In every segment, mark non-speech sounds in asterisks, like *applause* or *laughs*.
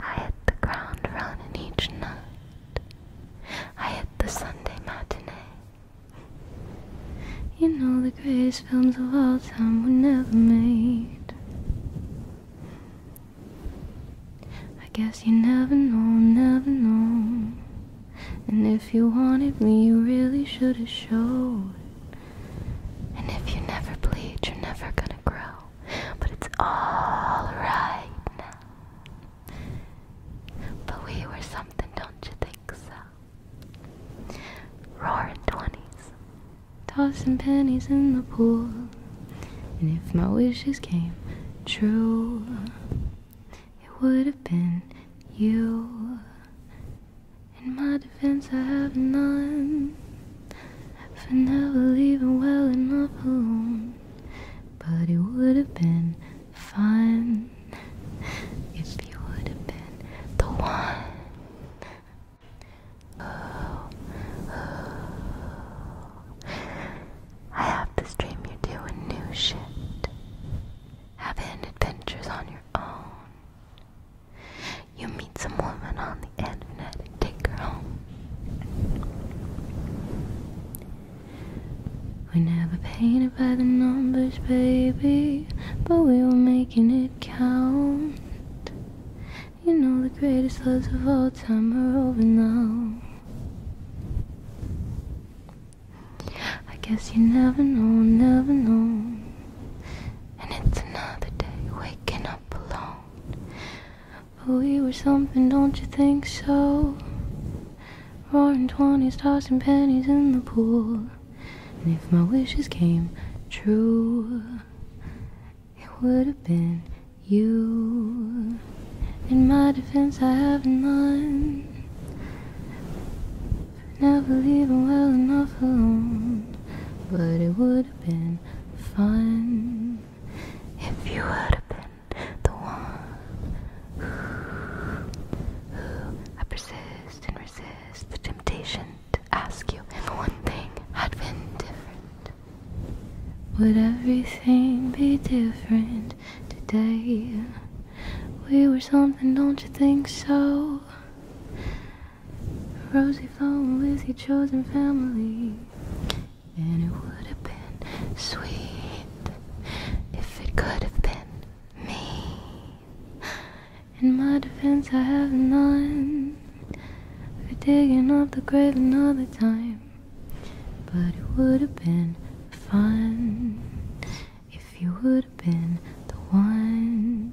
I hit the ground running each night. I hit the Sunday matinee. You know the greatest films of all time were never made. I guess you never know, never know. And if you wanted me, you really should have showed. And if you never bleed, you're never gonna grow but it's all right now. But we were something, don't you think so? Roaring twenties, tossing pennies in the pool, and if my wishes came true, it would have been you. In my defense, I have none for never leaving well enough alone. But it would have been fun if you would have been the one. Oh, oh. I have this dream you're doing new shit, having adventures on your own. You meet some woman on the Antoinette and take her home. We never painted by the numbers, baby, but we were making it count. You know the greatest loves of all time are over now. I guess you never know, never know. And it's another day waking up alone. But we were something, don't you think so? Roaring twenties, tossing pennies in the pool. And if my wishes came true, it would have been you. In my defense, I have none. For never leaving well enough alone. But it would have been fun if you had been the one who, I persist and resist the temptation to ask you if one thing had been different. Would everything be different today? We were something, don't you think so? Rosy flowing with your chosen family. And it would have been sweet if it could have been me. In my defense, I have none for digging up the grave another time. But it would have been fun if you would have been the one.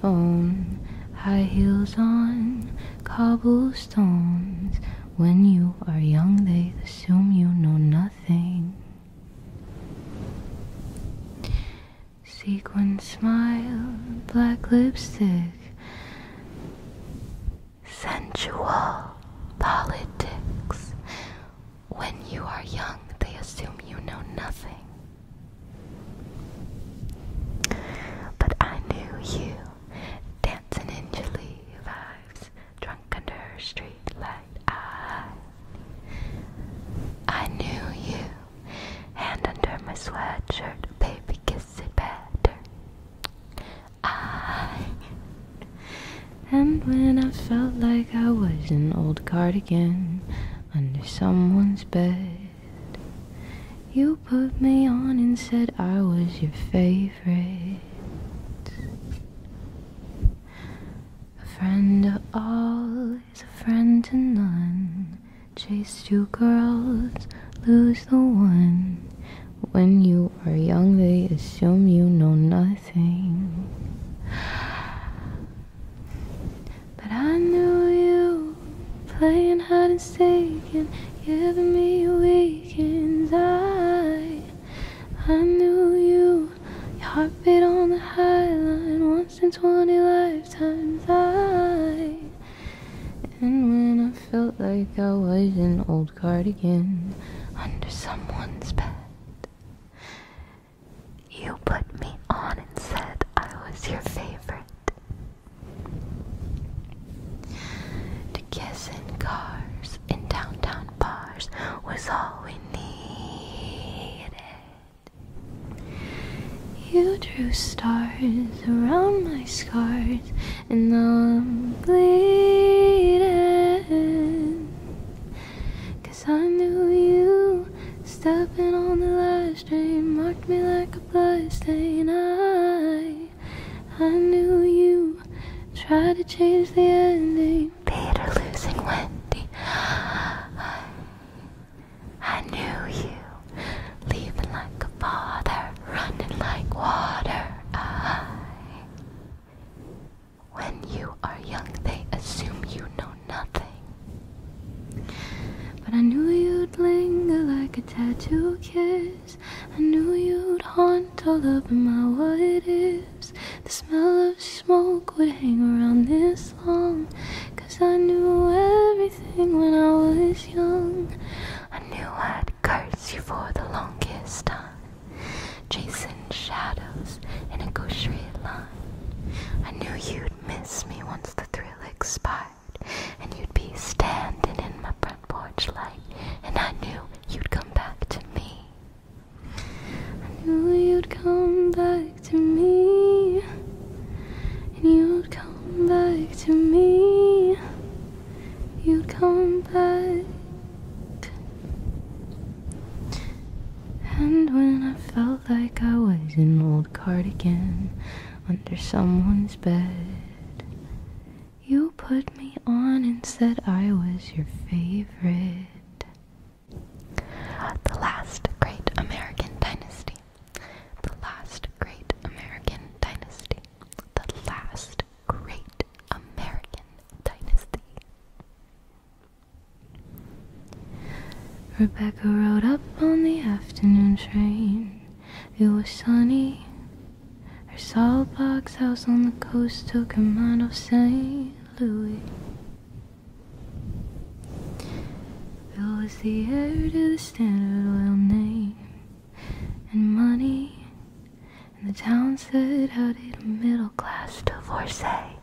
phone, high heels on, cobblestones. When you are young, they assume you know nothing. Sequined smile, black lipstick, sensual politics. When you are young, they assume you know nothing. But I knew you, dancing in chilly vibes, drunk under her I, I knew you, hand under my sweatshirt, baby kiss it better. I, and when I felt like I was an old cardigan under someone's bed. You put me on and said I was your favorite. A friend of all is a friend to none. Chase two girls, lose the one. When you are young, they assume you know nothing. But I knew you playing hide and seek and giving me weekends. I, I knew you, your heartbeat on the high line once in 20 lifetimes. I, and when I felt like I was an old cardigan under someone's bed. You put me on and said I was your favorite. To kiss in cars in downtown bars was all we needed. You drew stars around my scars, and I'm bleeding. I knew you stepping on the ladder bloodstain marked me like a bloodstain. I, I knew you tried to change the ending. Peter losing Wendy. I, I knew you leaving like a father, running like water. I, when you are young, they assume you know nothing. But I knew you'd linger like a tattoo kiss. I knew you'd haunt all up in my what it is. The smell of smoke would hang around this long. Cause I knew everything when I was young. I knew I'd curse you for the longest time. Chasing shadows in a gaucherie line. I knew you'd miss me once the thrill expired and you'd be standing in my front porch light, and I knew you'd come back to me. I knew you'd come back to me, and you'd come back to me, you'd come back. And when I felt like I was an old cardigan under someone's bed. You put me on and said I was your favorite. The last great American dynasty. The last great American dynasty. The last great American dynasty. Rebecca rode up on the afternoon train. It was sunny. Her solid box house on the coast took her mind off St. Louis. Bill was the heir to the Standard Oil name and money, and the town said, How did a middle class divorcee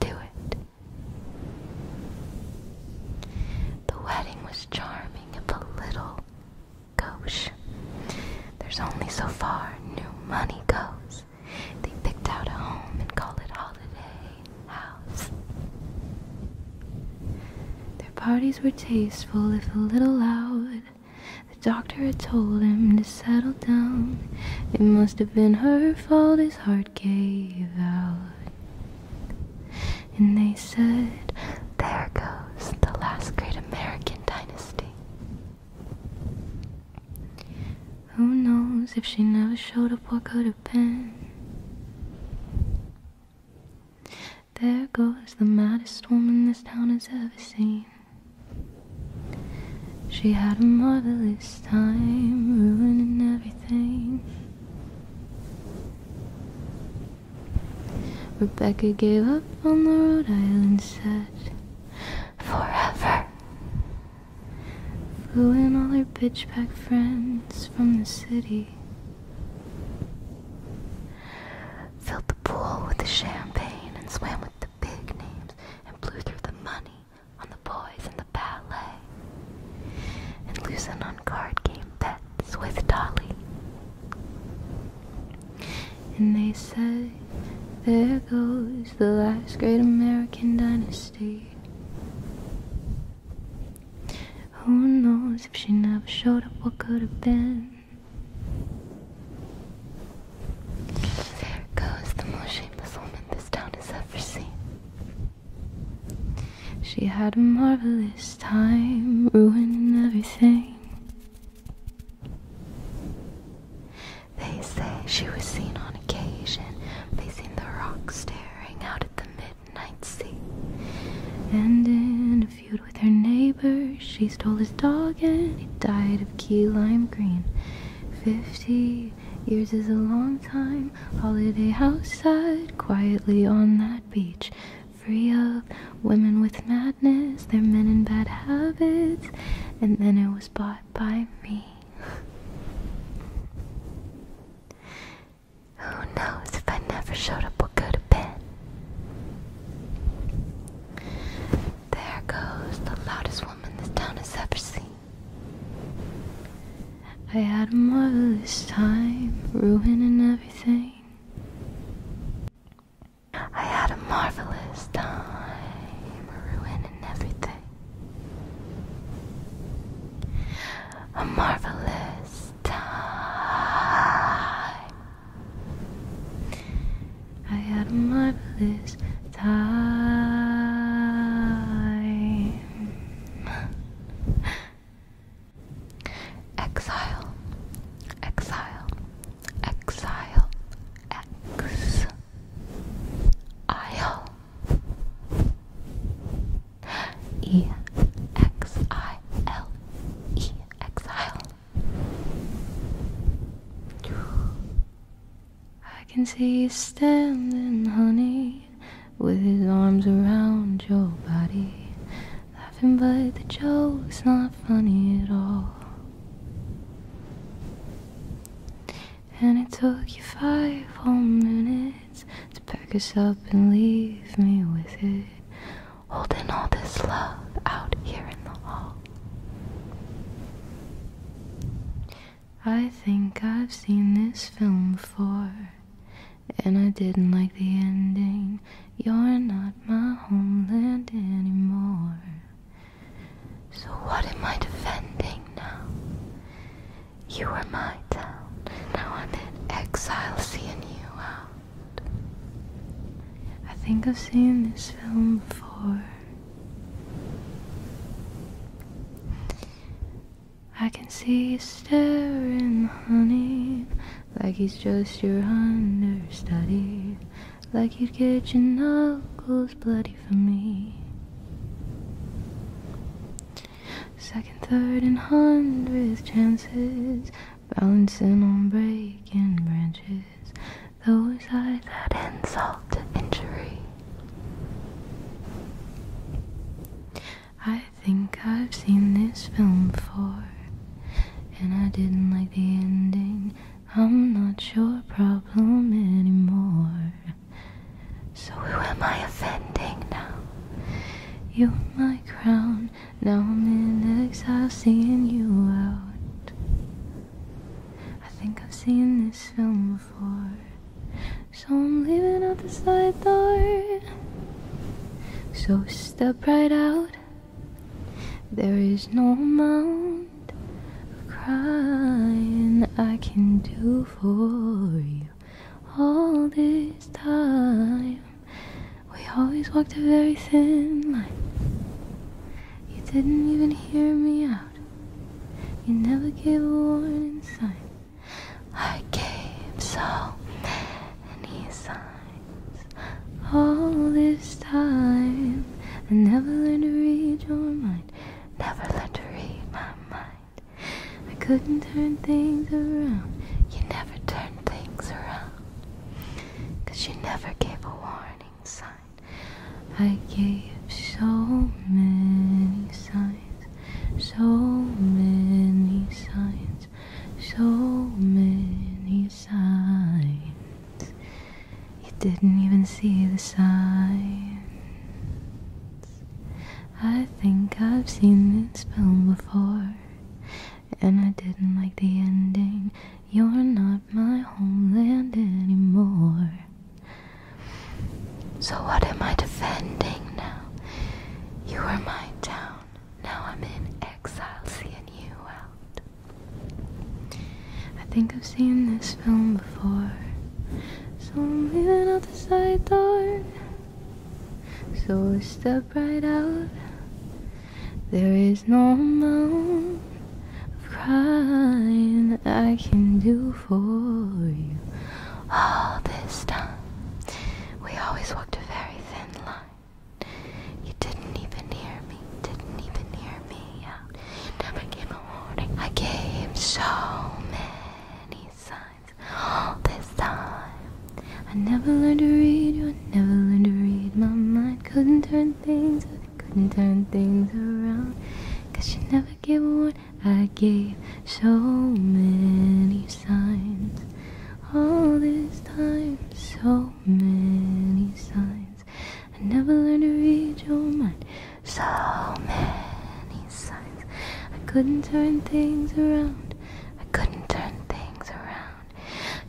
do it? The wedding was charming becoming a little gauche. There's only so far new money goes. They picked out a home and called it Holiday House. Their parties were tasteful, if a little loud. The doctor had told him to settle down. It must have been her fault his heart gave out. And they said, there goes the last great American dynasty. Who knows if she never showed up what could have been? There goes the maddest woman this town has ever seen. She had a marvelous time ruining everything. Rebecca gave up on the Rhode Island set forever. Flew in all her bitchback friends from the city. Filled the pool with the champagne and swam with the big names and blew through the money on the boys and the ballet and losing on card game bets with Dolly. And they say, there goes the last great American dynasty. Who knows if she never showed up, what could have been? There goes the most shameless woman this town has ever seen. She had a marvelous time ruining everything. They say she was seen on occasion facing the rock staring out at the midnight sea. And in a feud with her neighbor, she stole his dog and he died of key lime green. Fifty years is a long time, holiday house side, quietly on that beach free of women with madness, they're men in bad habits, and then it was bought by me. Who knows if I never showed up what could have been? There goes the loudest woman this town has ever seen. I had a marvelous time ruining everything. I had a marvelous time ruining everything. A marvelous time. I had a marvelous time. Exile, exile, exile, X Isle E X I L E exile. I can see you standing, honey with his arms around your body, laughing, but the joke's not funny at all. And it took you five whole minutes to pack us up and leave me with it, holding all this love out here in the hall. I think I've seen this film before and I didn't like the ending. You're not my homeland anymore. So, what am I defending now? You were my town, now I'm in exile seeing you out. I think I've seen this film before. I can see you staring, honey, like he's just your understudy, like you'd get your knuckles bloody for me. Second, third, and hundredth chances, balancing on breaking branches, those eyes that insult injury. I think I've seen this film before, and I didn't like the ending. I'm not your problem anymore. So, who am I offending now? You're my crown, now I'm in exile, seeing you out. I think I've seen this film before. So I'm leaving out the side door. So step right out. There is no amount of crying I can do for you. All this time, we always walked a very thin line. You didn't even hear me out. You never gave a warning sign. I gave so many signs all this time. I never learned to read your mind, never learned to read my mind. I couldn't turn things around. You never turned things around. Cause you never gave a warning sign. I gave so many signs, so many signs so many signs. You didn't even see the signs. I think I've seen this film before, and I didn't like the ending. You're not my homeland anymore. So, what am I defending now? You are my town. Now I'm in exile seeing you out. I think I've seen this film before. So I'm leaving out the side door. So step right out. There is no amount of crying I can do for you all this time. We always walked a very thin line. You didn't even hear me, didn't even hear me out. Never gave a warning. I gave so many signs all this time. I never learned to read you, I never learned to read my mind. Couldn't turn things, couldn't turn things around. Cause you never gave a warning. I gave so many signs all this time so many signs I never learned to read your mind so many signs I couldn't turn things around I couldn't turn things around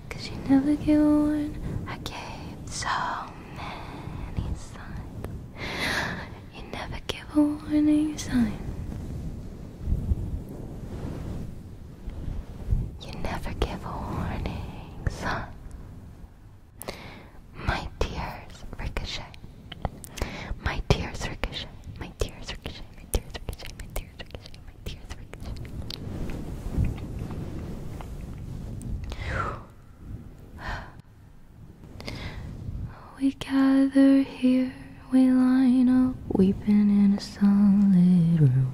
cause you never gave one I gave so many signs you never give a warning sign you never give a warning, huh? My tears ricochet. My tears ricochet. My tears ricochet. My tears ricochet. My tears ricochet. My tears ricochet. We gather here, we line up, weeping in a sunlit room.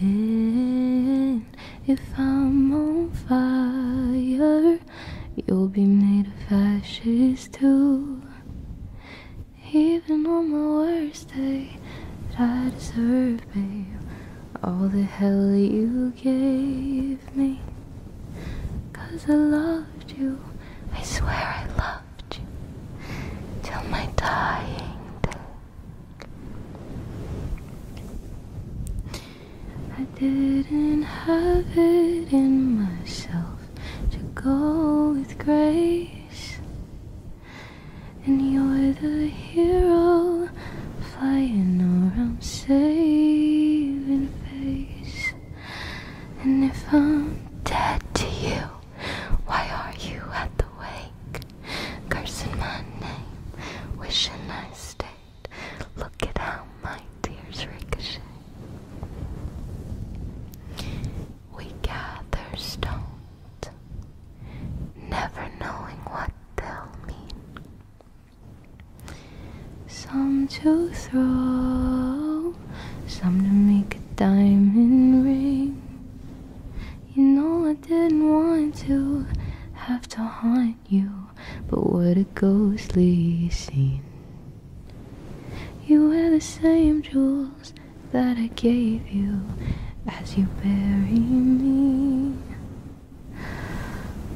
And if I'm on fire, you'll be made of ashes too. Even on my worst day, that I deserve, babe, all the hell you gave me. Cause I loved you, I swear I loved loved till my dying day. I didn't have it in myself to go with grace, and you're the hero flying around saving face. And if I'm dead to you. Why are you at the wake? Cursing my name, wishing I stayed. Look at how my tears ricochet. We gather stones, never knowing what they'll mean. Some to throw, some to make a diamond ring. You know I didn't want to have to haunt you, but what a ghostly scene. You wear the same jewels that I gave you as you bury me.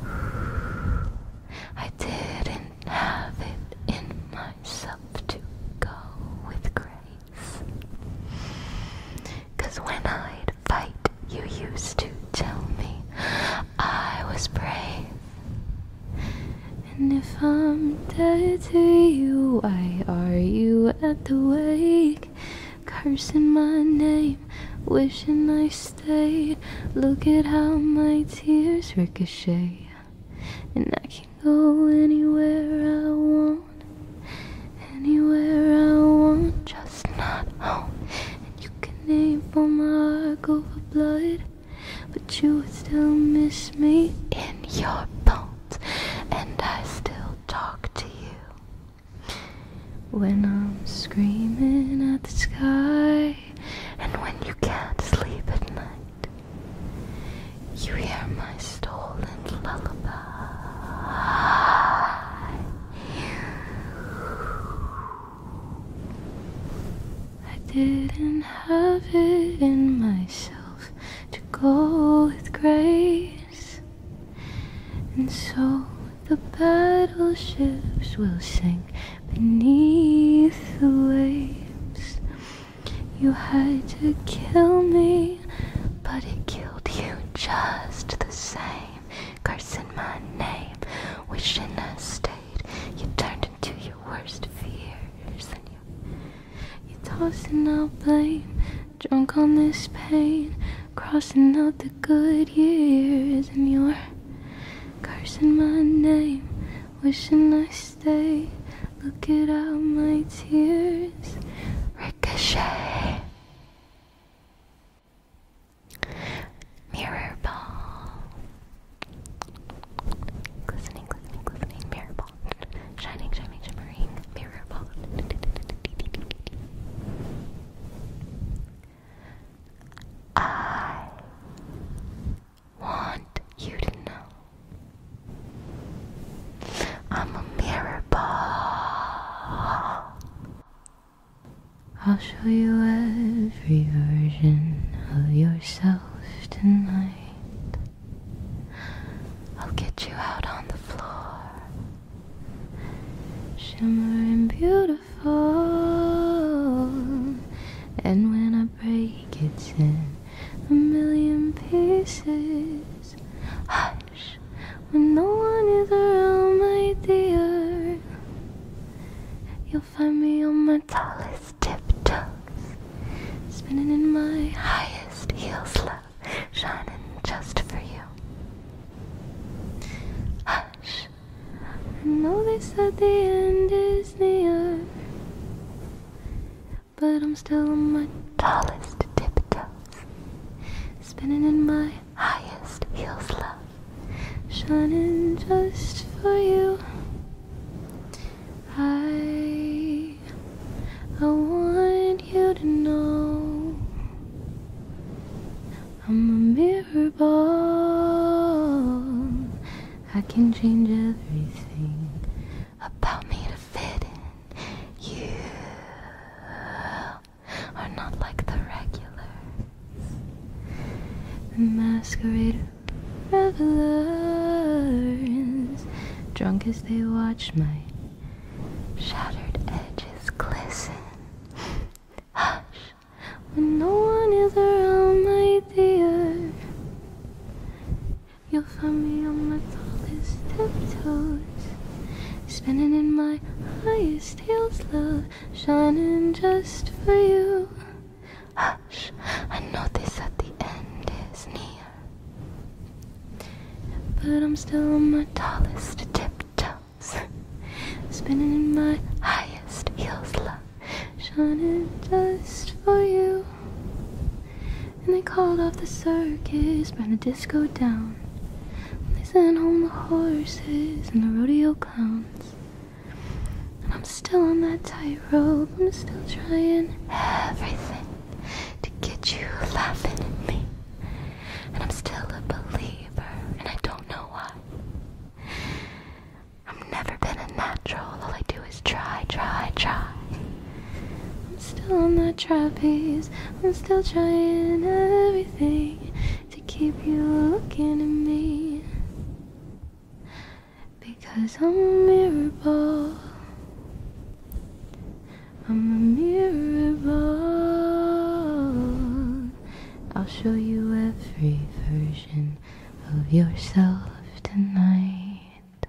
*sighs* I didn't have it in my myself to go with grace. when I'd fight, you used to tell me I was brave. And if I'm dead to you, why are you at the wake? Cursing my name, wishing I stayed. Look at how my tears ricochet and I can go anywhere I want, anywhere I want, just not home. And you can name for my go for blood, but you would still miss me in your bones, and I still talk to you when I'm screaming at the sky, and when you can't sleep at night. You hear my stolen lullaby. I didn't have it in myself to go with grace, and so the battleships will sink beneath the waves. You had to kill me, but it killed you just the same. Cursing my name, wishing I stayed. You turned into your worst fears, and you you tossing out blame, drunk on this pain, crossing out the good years, and you're cursing my name. Wishing I stay. Look at all my tears ricochet. Mirror Glistening, glistening, glistening. Mirror Shining, shimmering, shimmering. Mirror ball want you to know I'm a mirror ball. I'll show you every version of yourself tonight. I'll get you out on the floor, shimmering beautiful. And when I break it in a million pieces. Hush, when no one is around, my dear, you'll find me on my tallest tiptoes, spinning in my highest heels low, shining just for you. Hush, I know they said the end is near but I'm still my tallest tiptoes, spinning in my highest heels, love, shining just for you. I, I want you to know I'm a mirror ball. I can change everything about me to fit in. You are not like the regulars. The masquerade revelers, drunk as they watch my shattered edges glisten. Hush, when no one is around, my dear. You'll find me on my tallest tiptoes, spinning in my highest heels, love, shining just for you. Hush, I notice that the end is near, but I'm still on my tallest tiptoes, spinning in my highest heels, love, shining just for you. And they called off the circus, burned the disco down. they sent home the horses and the rodeo clowns. And I'm still on that tightrope, I'm still trying everything to get you laughing at me. And I'm still a believer, and I don't know why. I've never been a natural. All I do is try, try, try. I'm still on that trapeze. I'm still trying everything to keep you looking at me. Because I'm a mirror I'm a mirror I'll show you every version of yourself tonight.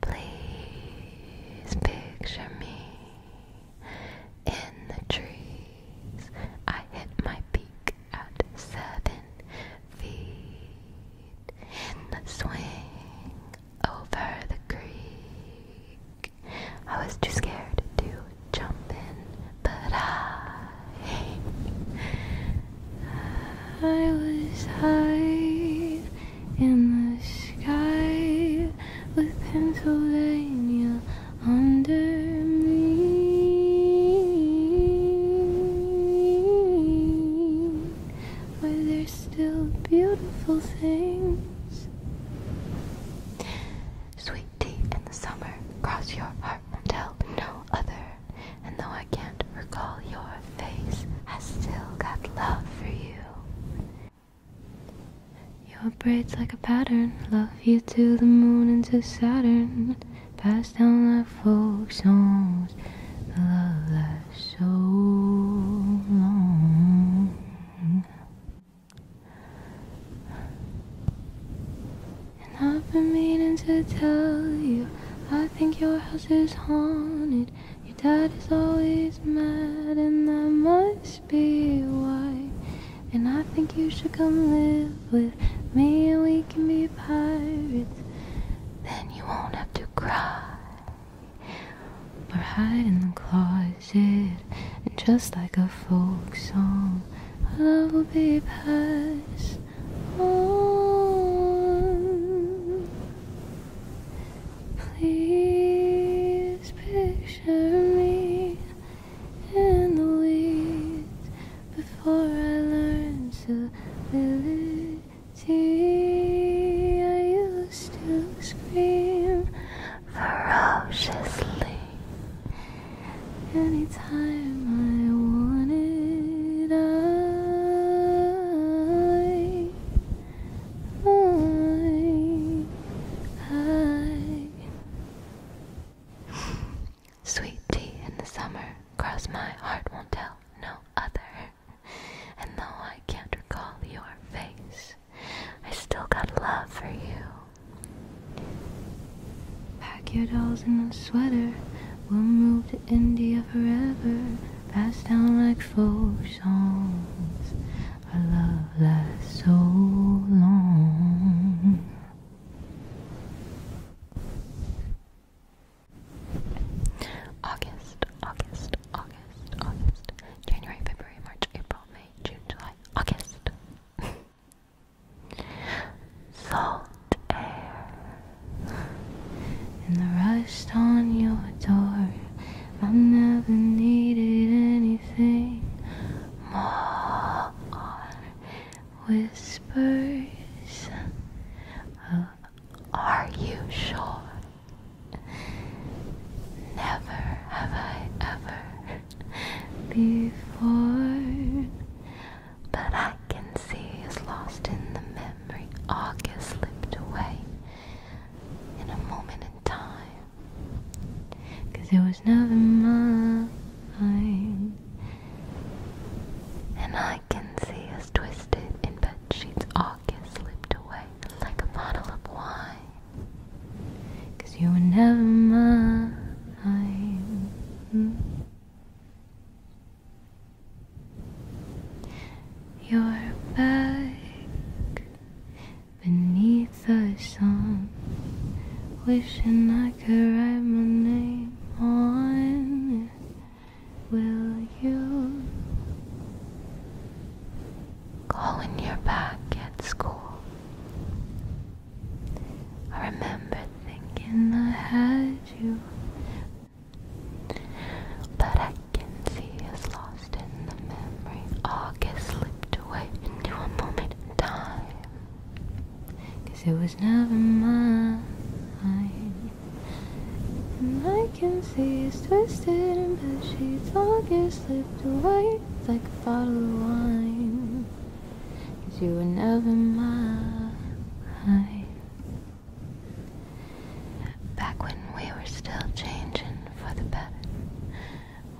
Please picture me in the trees. I hit my peak at seven feet in the swing over the creek. I was too scared to jump in, but I, I was high in the sky with Pennsylvania under me, where there's still beautiful things. Sweet tea in the summer, cross your heart and tell no other. And though I can't recall your face, I still got love for you. Your braids like a pattern, love you to the moon and to Saturn. Pass down like folk songs, love lasts so long. And I've been meaning to tell you, I think your house is haunted. Your dad is always mad, and that must be why. And I think you should come live with me, and we can be pirates. Then you won't have to cry. Or hide in the closet, and just like a folk song, our love will be passed on. Please picture me in the weeds before I learn to ability. I used to scream ferociously anytime I wanted. I I, I. Sweet tea in the summer, cross my heart won't tell no other. And though I can't recall your face, I still got love for you. Pack your dolls in a sweater, we'll move to India forever. Pass down like folk songs a love lasts so long. August, August, August, August, January, February, March, April, May, June, July, August. *laughs* Salt air in the rust on your door I never needed anything more. Whispers Are You Sure? Never have I ever before. But I can see it's lost in the memory. August slipped away. In a moment time. Cause it was never mine. And I can see us twisted in bed sheets. all get slipped away like a bottle of wine. Cause you were never mine. You're back beneath the sun, wishing I could write my name on Will you calling your back at school? I remember thinking I had you, but I I can see is lost in the memory. August slipped away into a moment in time. Cause it was never mine. And see it's twisted in bed sheets. August slipped away like a bottle of wine. Cause you were never mine back when we were still changing for the better.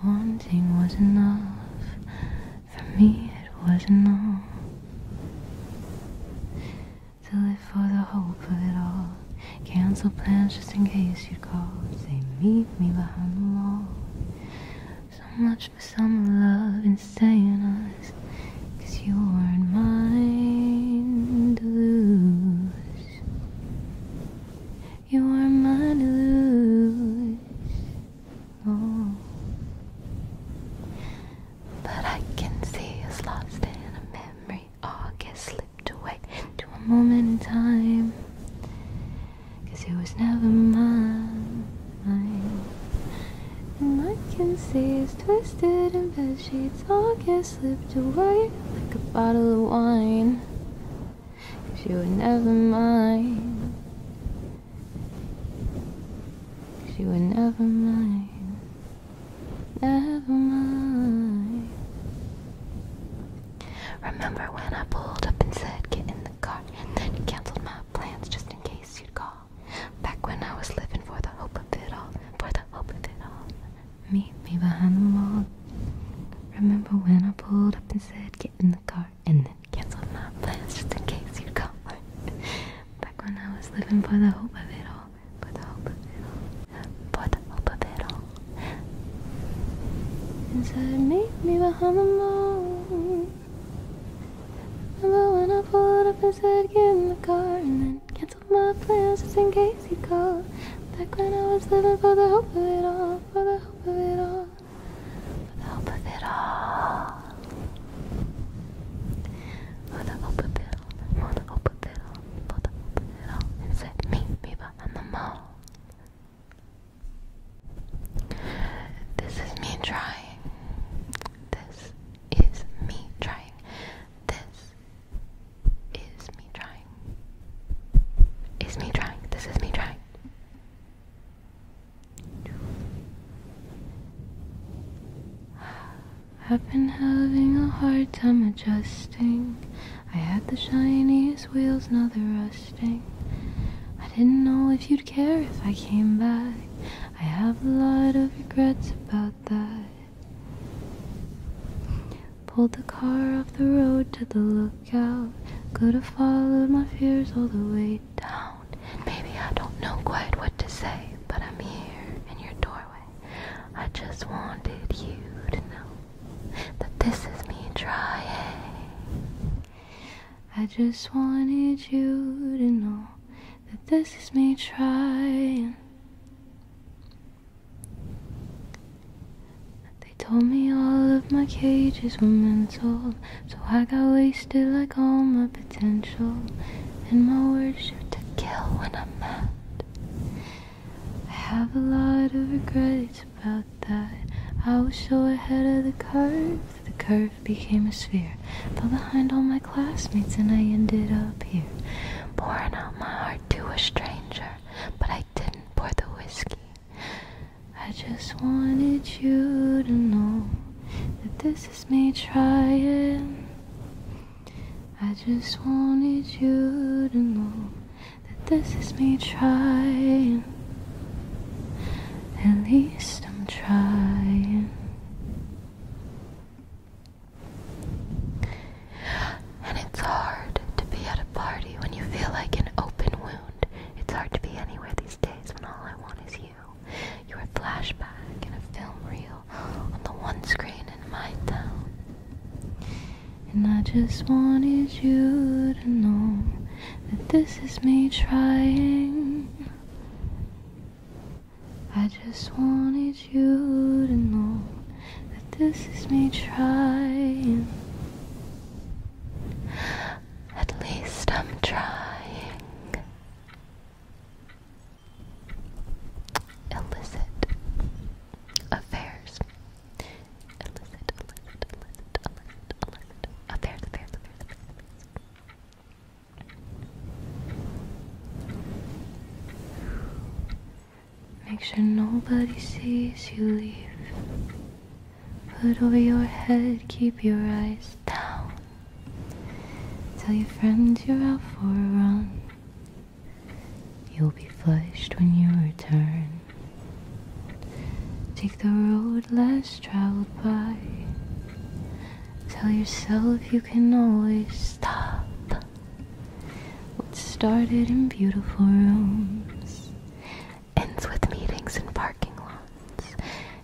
Wanting was enough, for me it was not enough. To live for the hope of it all, cancel plans just in case you'd call. Say, meet me behind the wall. So much for some love and staying honest, you are not mine to lose. You are mine to lose. Oh. But I can see us lost in a memory. All oh, August slipped away to a moment in time. Cause it was never mine. And I can see it's twisted and bed it's August slipped away like a bottle of wine. Cause you would never mind. Cause you would never mind. Never mind. Remember when I pulled up and said, get in the car, and then you canceled my plans just in case you'd call. Back when I was living for the hope of it all, for the hope of it all. Meet me behind the wall. Remember when I pulled up and said, Get in the car, and then canceled my plans just in case you'd call. Back when I was living for the hope of it all. For the hope of it all. For the hope of it all. And Meet me behind the wall. Remember when I pulled up and said, Get in the car, and then canceled my plans just in case physical. Back when I was living for the hope of it all, for the hope of it all, for the hope of it all. For the hope of it all, for the hope of it all, for the hope of it all. And said, meet me behind the mall. This is me trying. This is me trying. This is me trying. Is me trying. This is me trying. I've been having a hard time adjusting. I had the shiniest wheels, now they're rusting. I didn't know if you'd care if I came back. I have a lot of regrets about that. Pulled the car off the road to the lookout. Could have followed my fears all the way down. maybe I don't know quite what to say, but I'm here in your doorway. I just wanted you to know that this is me trying. I just wanted you to know that this is me trying. They told me all of my cages were mental, so I got wasted like all my potential, and my words shoot to kill when I'm mad. I have a lot of regrets about that. I was so ahead of the curve, the curve became a sphere. Fell behind all my classmates, and I ended up here, pouring out my heart to a stranger. But I I didn't pour the whiskey. I just wanted you to know that this is me trying. I just wanted you to know that this is me trying. At least I'm trying. And it's hard to be at a party when you feel like an open wound. It's hard to be anywhere these days when all I want is you. You're a flashback in a film reel on the one screen in my town. And I just wanted you to know that this is me trying. I just wanted you to know that this is me trying. At least I'm trying. Illicit affairs. Make sure nobody sees you leave. Put over your head, keep your eyes down. Tell your friends you're out for a run. You'll be flushed when you return. Take the road less traveled by. Tell yourself you can always stop. What started in beautiful rooms ends with meetings in parking lots.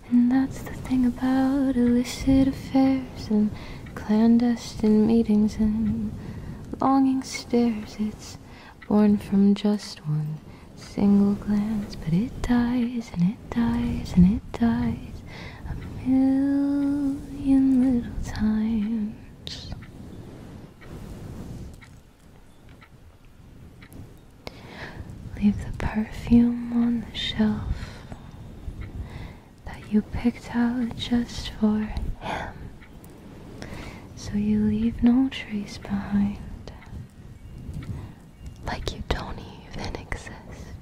And that's the thing about illicit affairs and clandestine meetings and longing stares. It's born from just one single glance, but it dies and it dies and it dies a million little times. Leave the perfume on the shelf that you picked out just for him, so you leave no trace behind. Like you don't even exist.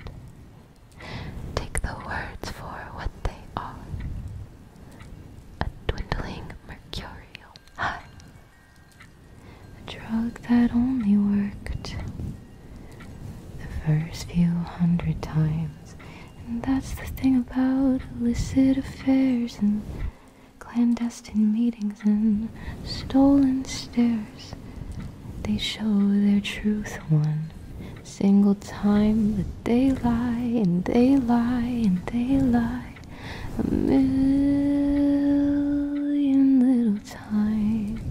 Take the words for what they are a dwindling mercurial high. A drug that only worked the first few hundred times. And that's the thing about illicit affairs and clandestine meetings and stolen stairs. They show their truth one single time that they lie and they lie and they lie a million little times.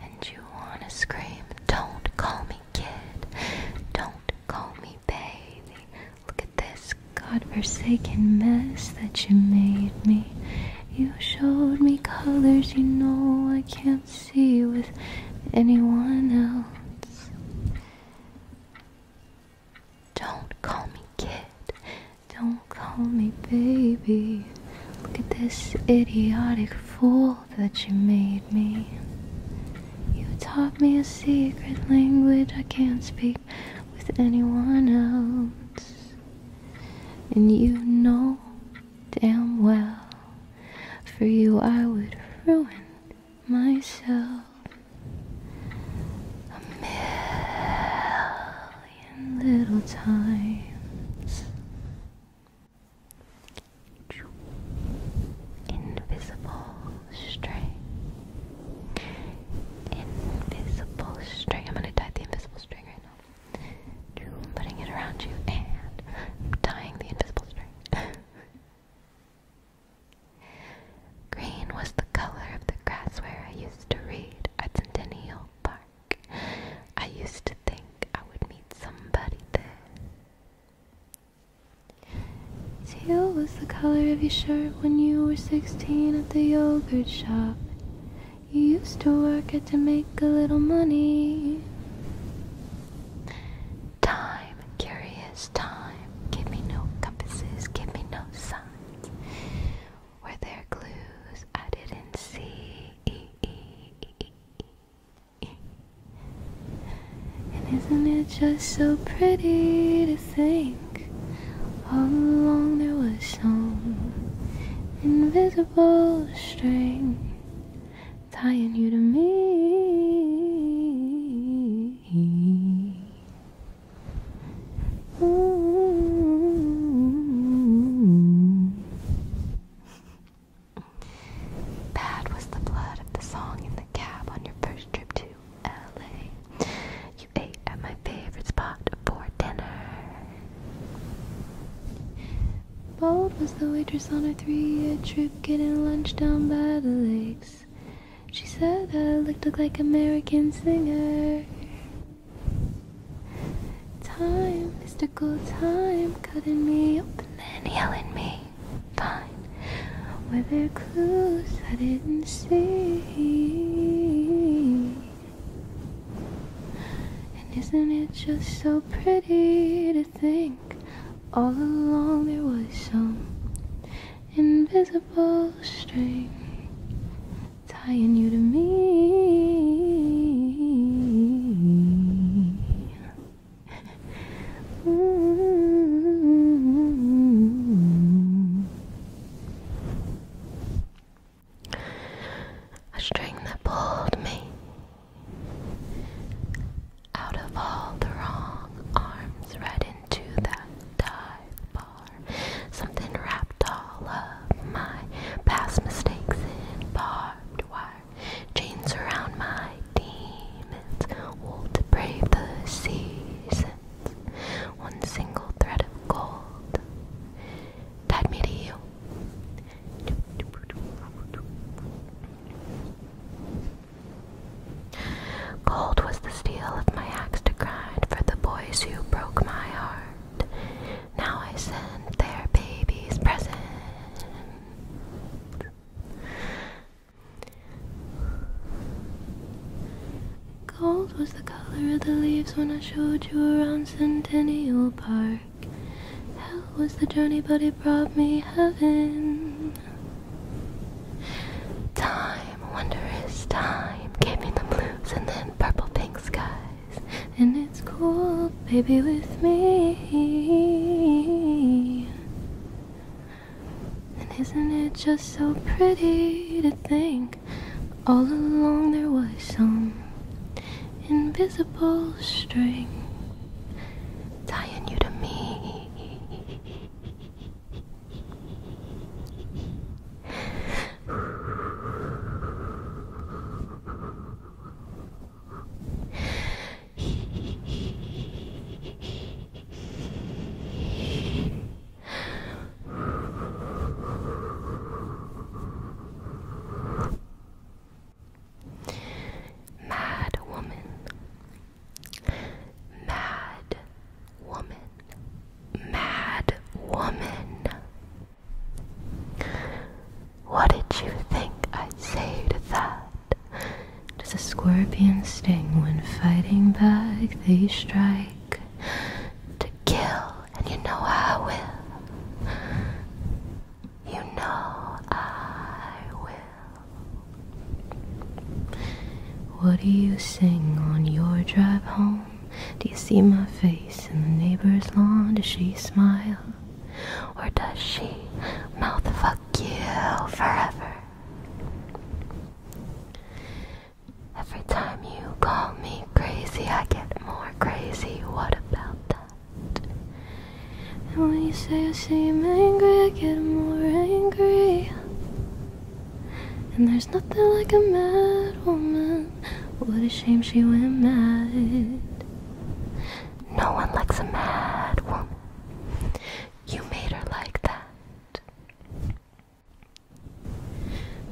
And you want to scream, Don't call me kid, don't call me baby. Look at this godforsaken mess that you made me. You showed me colors you know I can't see with anyone else. Don't call me kid. Don't call me baby. Look at this idiotic fool that you made me. You taught me a secret language I can't speak with anyone else. And you know damn well. For you, I would ruin myself. A million little times. Invisible string. Invisible string. I'm going to tie the invisible string right now. I'm putting it around you and tying the invisible string. *laughs* Green was the color of the grass where I used to read at Centennial Park. I used to think I would meet somebody there. Teal was the color of your shirt when you were 16 at the yogurt shop. You used to work it to make a little money. Time, curious time, give me no compasses, give me no signs. Were there clues I didn't see? And isn't it just so pretty to think all along there was some invisible string tying you to me. Bad was the blood of the song in the cab on your first trip to LA. You ate at my favorite spot for dinner. Bold was the waitress on her three-year trip, getting lunch down by the lakes. She said I looked like American singer. Time, mystical time, cutting me up and then yelling me. Fine. Were there clues I didn't see? And isn't it just so pretty to think all along there was some invisible string tying you to me? a string that pulled me out of all the wrong arms, right into that dive bar. Something wrapped all of my past mistakes in barbed wire. Chains around my demons, all to brave the seasons. One single thread of gold tied me to you. Cold was the steel of my axe to grind for the boys who broke my heart. Now I send their babies presents. Gold was the color of the leaves when I showed you around Centennial Park. How was the journey, but brought me heaven. Time, wondrous time, gave me the blues and then purple pink skies. And it's cool, baby, with me. And isn't it just so pretty to think all along there was some invisible string tying you to me. Mad woman. Mad woman. Mad woman. What did you think I saved that? Does a scorpion sting when fighting back? They strike to kill and you know I will. You know I will. What do you sing on your drive home? Do you see my face in the neighbor's lawn? Does she smile? Or does she mouth fuck you forever? Every time you call me crazy, I get more crazy. What about that? And when you say I seem angry, I get more angry. And there's nothing like a mad woman. What a shame she went mad. No one likes a mad woman. You made her like that.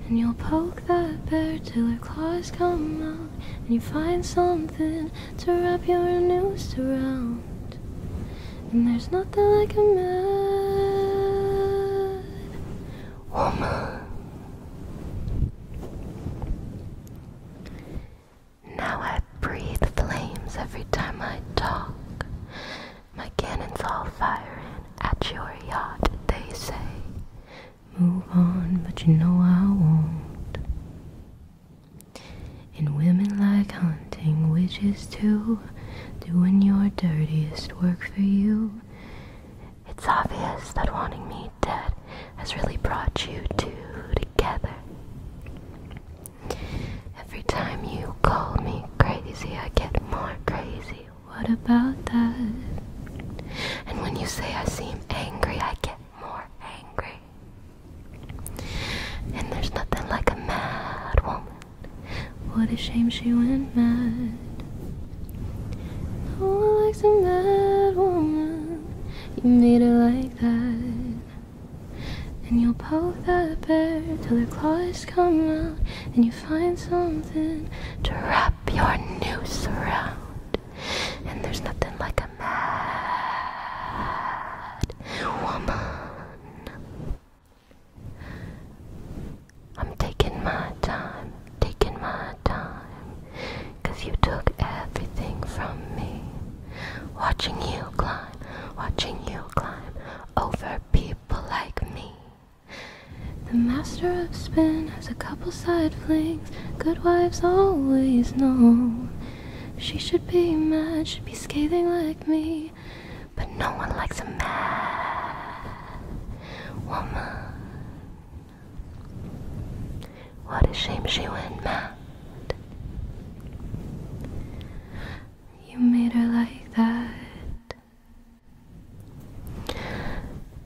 And you'll poke that bear till her claws come out, and you find something to wrap your noose around. And there's nothing like a mad woman. Now I breathe flames every time I talk. My cannons all firing at your yacht, they say move on, but you know I won't. And women like hunting, witches too, doing your dirtiest work for you. It's obvious that wanting me dead has really brought you two together. Every time you call me crazy, I get more crazy. What about that? And when you say I seem angry, I get more angry. And there's nothing like a mad woman. What a shame she went mad. No oh, one likes a mad woman. You made her like that. And you'll poke that bear till her claws come out, and you find something to wrap your noose around. And there's nothing like a mad woman. I'm taking my time, taking my time. Cause you took everything from me. Watching you climb, watching you climb over people like me. The master of spin has a couple side flings good wives always know. She should be mad, should be scathing like me. But no one likes a mad woman. What a shame she went mad. You made her like that.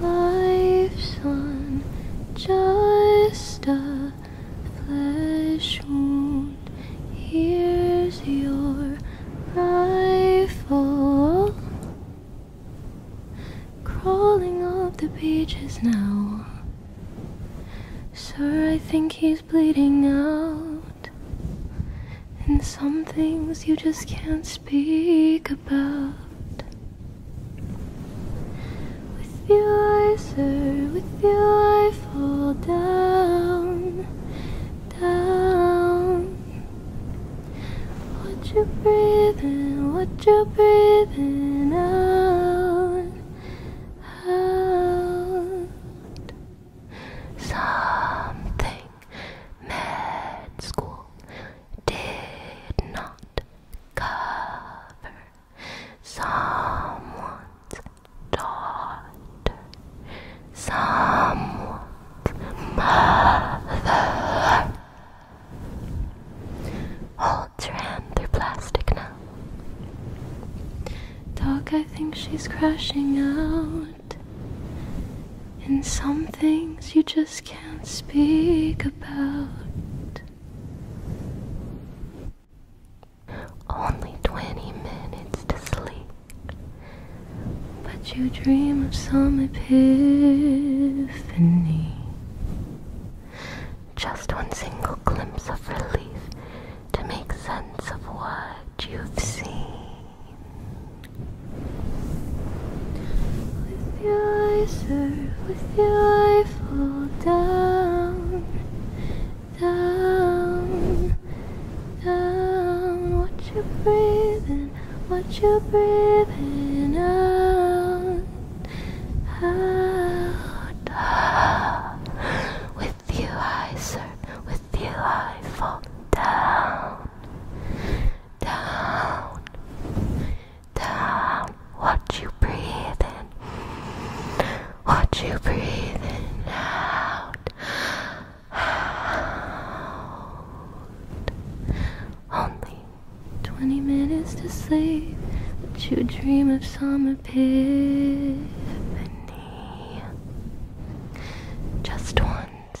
life's on just a flesh wound. Here's your rifle. Crawling up the pages now. Sir, I think he's bleeding out. And some things you just can't speak about. With your eyes, serve, with your eyes, fall down, down. What you breathe in, what you breathe in out, out. Something med school did not sound cover someone's daughter, someone's mother. Hold your hand through plastic now. Dog, I think she's crashing out. In some things you just can't can't speak about. Only 20 minutes to sleep, but you dream of some epiphany. Just one single glimpse of relief to make sense of what you've seen. With you I serve, with you I fall down, down, down. What you breathe in, what you breathe in out, out. With you I serve, with you I fall down. Down, down. Watch you breathe in. Watch you breathe out. *sighs* Only 20 minutes to sleep, but you dream of some epiphany. Just once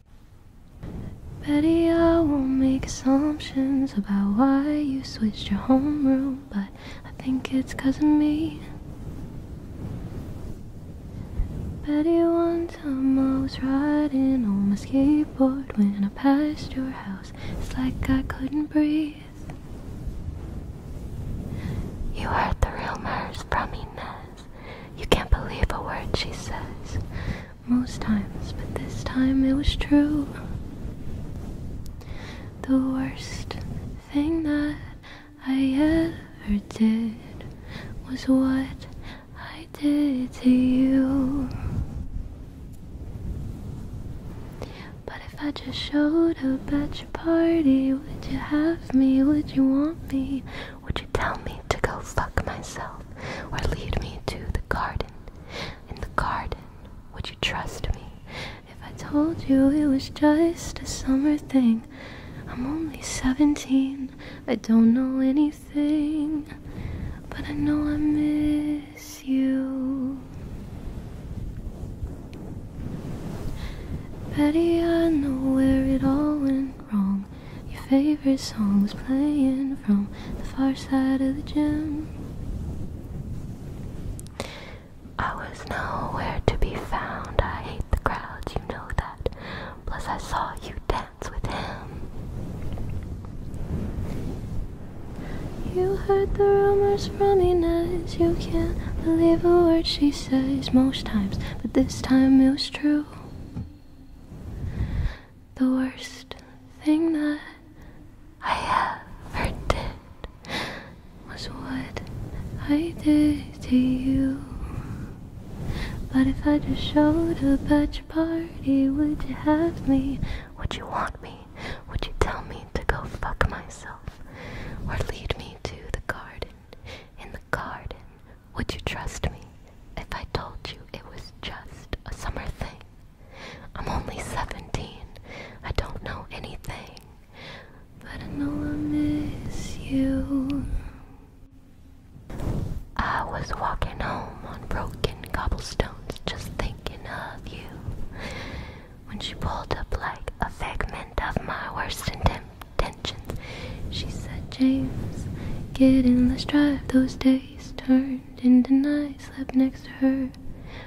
Betty, I won't make assumptions about why you switched your homeroom, but I think it's 'cause of me. Betty, one time I was riding on my skateboard when I passed your house. It's like I couldn't breathe. You heard the rumors from Inez. You can't believe a word she says most times, but this time it was true. The worst thing that I ever did was what I did to you. But if I just showed up at your party, would you have me? Would you want me? Would you tell me to go fuck myself or lead me to the garden? In the garden, would you trust me? If I told you it was just a summer thing, I'm only 17, I don't know anything, but I know I miss you. Betty, I know where it all went wrong. Your favorite song was playing from the far side of the gym. I was nowhere to be found. I hate the crowds, you know that. Plus, I saw you dance with him. You heard the rumors from Inez. You can't believe a word she says most times, but this time it was true the worst thing that I ever did was what I did to you. But if I just showed up at your party, would you have me? Would you want me? Would you tell me to go fuck myself? Or lead me to the garden, in the garden, would you trust me if I told you it was just a summer thing? I'm only 17. I don't know anything. But I know I miss you. I was walking home on broken cobblestones just thinking of you. When she pulled up like a fragment of my worst intentions, she said, James, get in, let's drive those days face turned into night, slept next to her.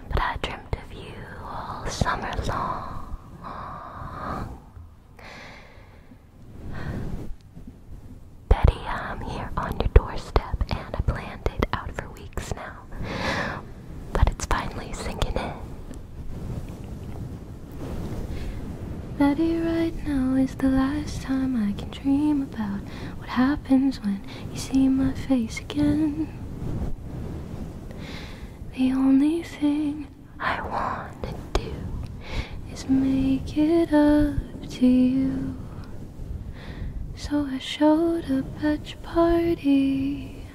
But I dreamt of you all summer long. Betty, I'm here on your doorstep and I planned it out for weeks now. But it's finally sinking in. Betty, right now is the last time I can dream about what happens when you see my face again. The only thing I want to do is make it up to you. So I showed up at your party.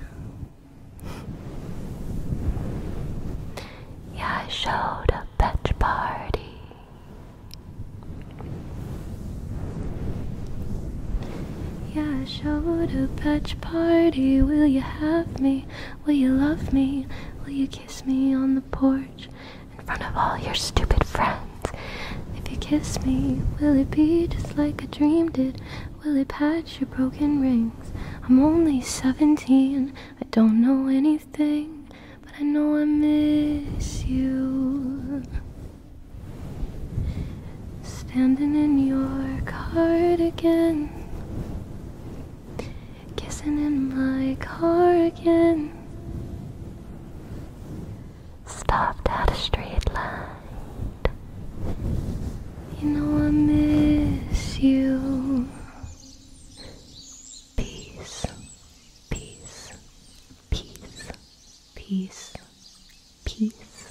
Yeah, I showed up at your party. Yeah, I showed up at your party. Will you have me? Will you love me? Will you kiss me on the porch in front of all your stupid friends? If you kiss me, will it be just like I dreamed it? Will it patch your broken rings? I'm only 17. I don't know any anything, but I know I miss you. Standing in your cardigan, kissing in my car again. Stopped at a street light. You know I miss you peace, peace, peace, peace, peace,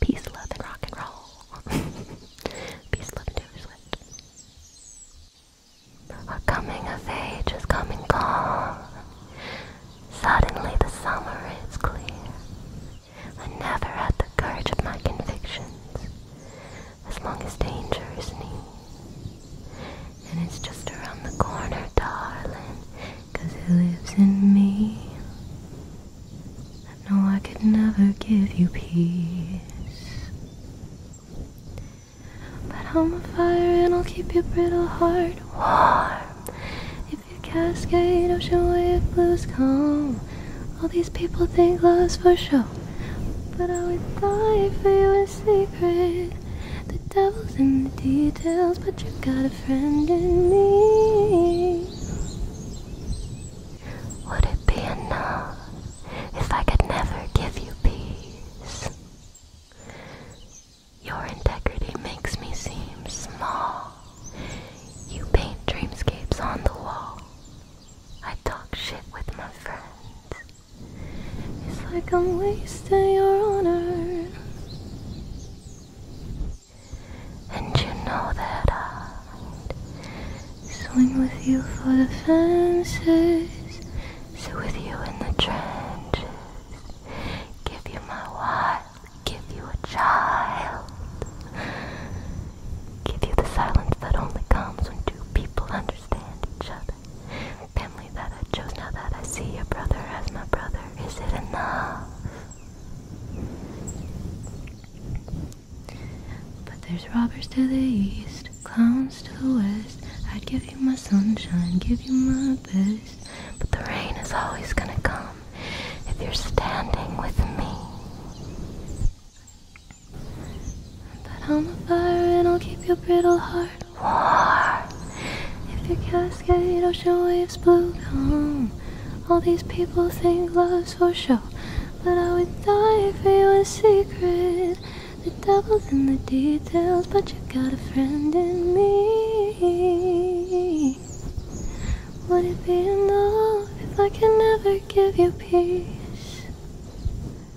peace, love, and rock and roll. *laughs* peace, love, and Taylor Swift. Our coming of age is coming gone. Suddenly the summer is clear. I never had the courage of my convictions as long as danger is near. And it's just around the corner, darling, cause it lives in me. I know I could never give you peace. But I'm a fire and I'll keep your brittle heart warm. If your cascade, ocean wave, blues come, all these people think love's for show. But I would die for you in secret. The devil's in the details, but you have got a friend in me. Would it be enough if I could never give you peace? Your integrity makes me seem small. You paint dreamscapes on the wall. I talk shit with my friends. It's like I'm wasting your honor. And you know that I'd swing with you for the fences, sit with you in the trenches, give you my wild, give you a child, give you the silence that only comes when two people understand each other, family that I chose. Now that I see your brother as my brother, is it enough? But there's robbers to the east, clowns to the west. I'd give you my sunshine, give you my best. But the rain is always gonna come if you're standing with me. That on the fire and I'll keep your brittle heart warm. If your cascade ocean waves blue calm, all these people think love's for show, but I would die for you in secret. The devil's in the details, but you got a friend in me. Would it be enough if I can never give you peace?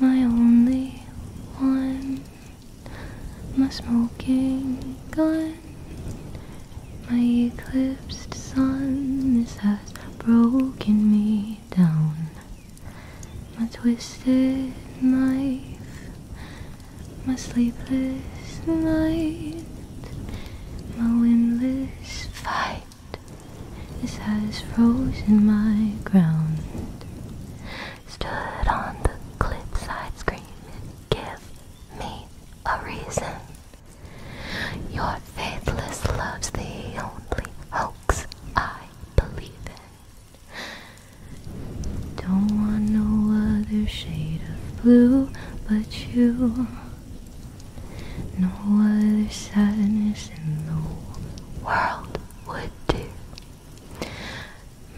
my only one, my smoking gun, my eclipsed sun. This has broken me down. My twisted knife, my sleepless night, my windless fight night His eyes froze in my ground Stood on the cliffside screaming Give me a reason Your faithless love's the only hoax I believe in Don't want no other shade of blue but you no other sadness in the world would do.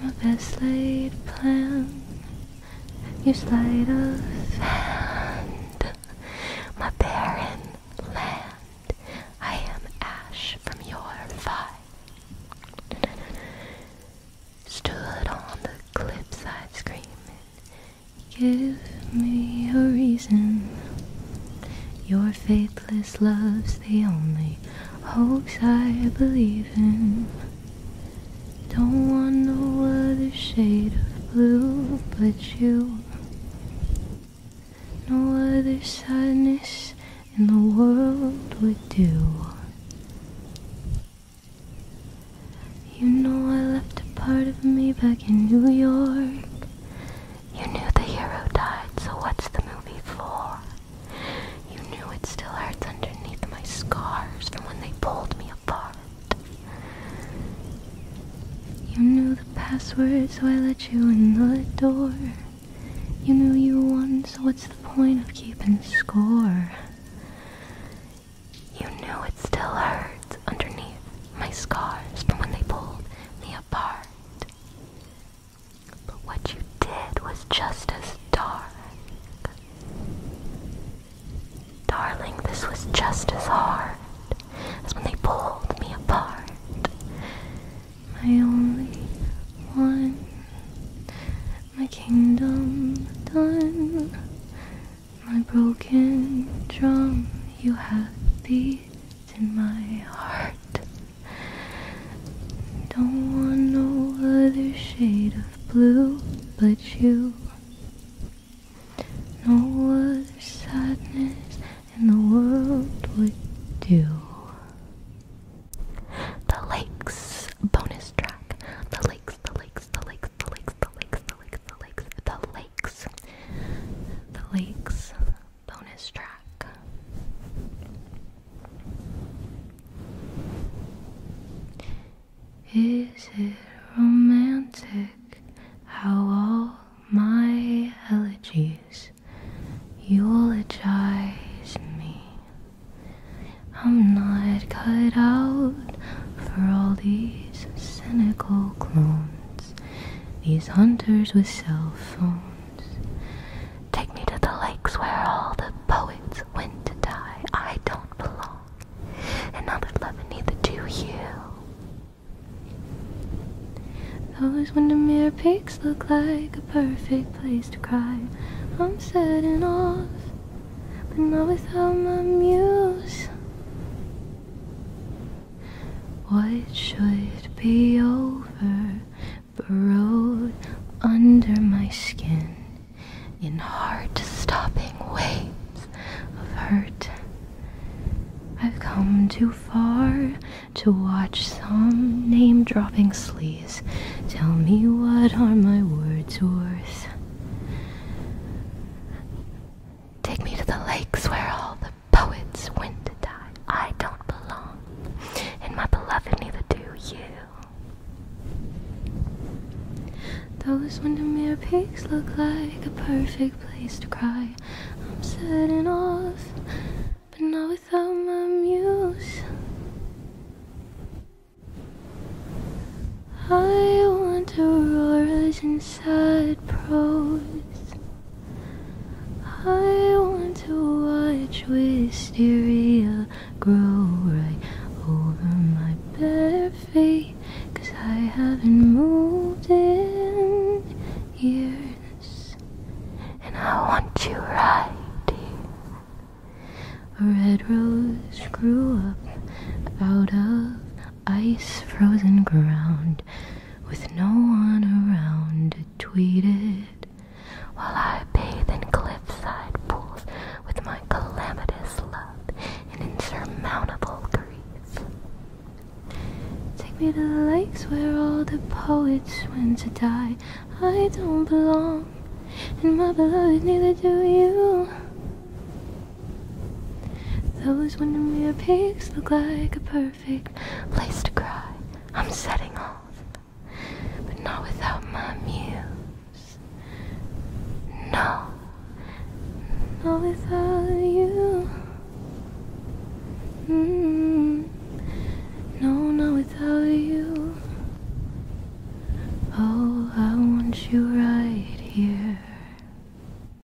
My best laid plan, you sleight of hand, my barren land. I am ash from your fire. Stood on the cliffside screaming, Give me a reason. Your faithless love's the only hoax I believe in. Don't want no other shade of blue but you. No other sadness in the world would do. You know I left a part of me back in New York. You knew the hero died, so what's the movie for? You knew it still hurts underneath my scars from when they pulled me apart. You knew the password, so I let you in the door. You knew you won, so what's the point of keeping score? You knew it still hurts underneath my scars from when they pulled me apart. But what you did was just as dark. Darling, this was just as hard as when they pulled me apart. My only one, my kingdom done. My broken drum, you have beat in my heart. Don't want no other shade of blue but you. No other sadness in the world would do. The Lakes bonus track. The Lakes, the Lakes, the Lakes, the Lakes, the Lakes, the Lakes, the Lakes, the Lakes. The lakes. The Lakes bonus track. Is it romantic how all my elegies eulogize me? I'm not cut out for all these cynical clones. These hunters with cell phones. Take me to the lakes where all the poets went to die. I don't belong. And neither do you. Always Those Windermere peaks look like a perfect place to cry. I'm setting off, but not without my muse. What should be over burrowed under my skin in heart stopping waves of hurt. I've come too far to watch some name dropping sleaze tell me what are my words worth. Take me to the lakes where all the Poets when to die. I don't belong, and my beloved neither do you. Those Windermere peaks look like a perfect place to cry. I'm setting off, but not without my muse. I want auroras and sad prose. I want to watch wisteria grow right over my bare feet, cause I haven't moved in years. And I want you right here. A red rose grew up out of ice frozen ground with no one around. to tweet It while I bathe in cliffside pools with my calamitous love and insurmountable grief. Take me to the lakes where all the poets went to die. I don't belong, and my beloved neither do you. Those Windermere peaks look like a perfect place to cry. I'm setting off, but not without my muse. No, not without you. Mm-hmm. No, not without you. Oh, I want you right here.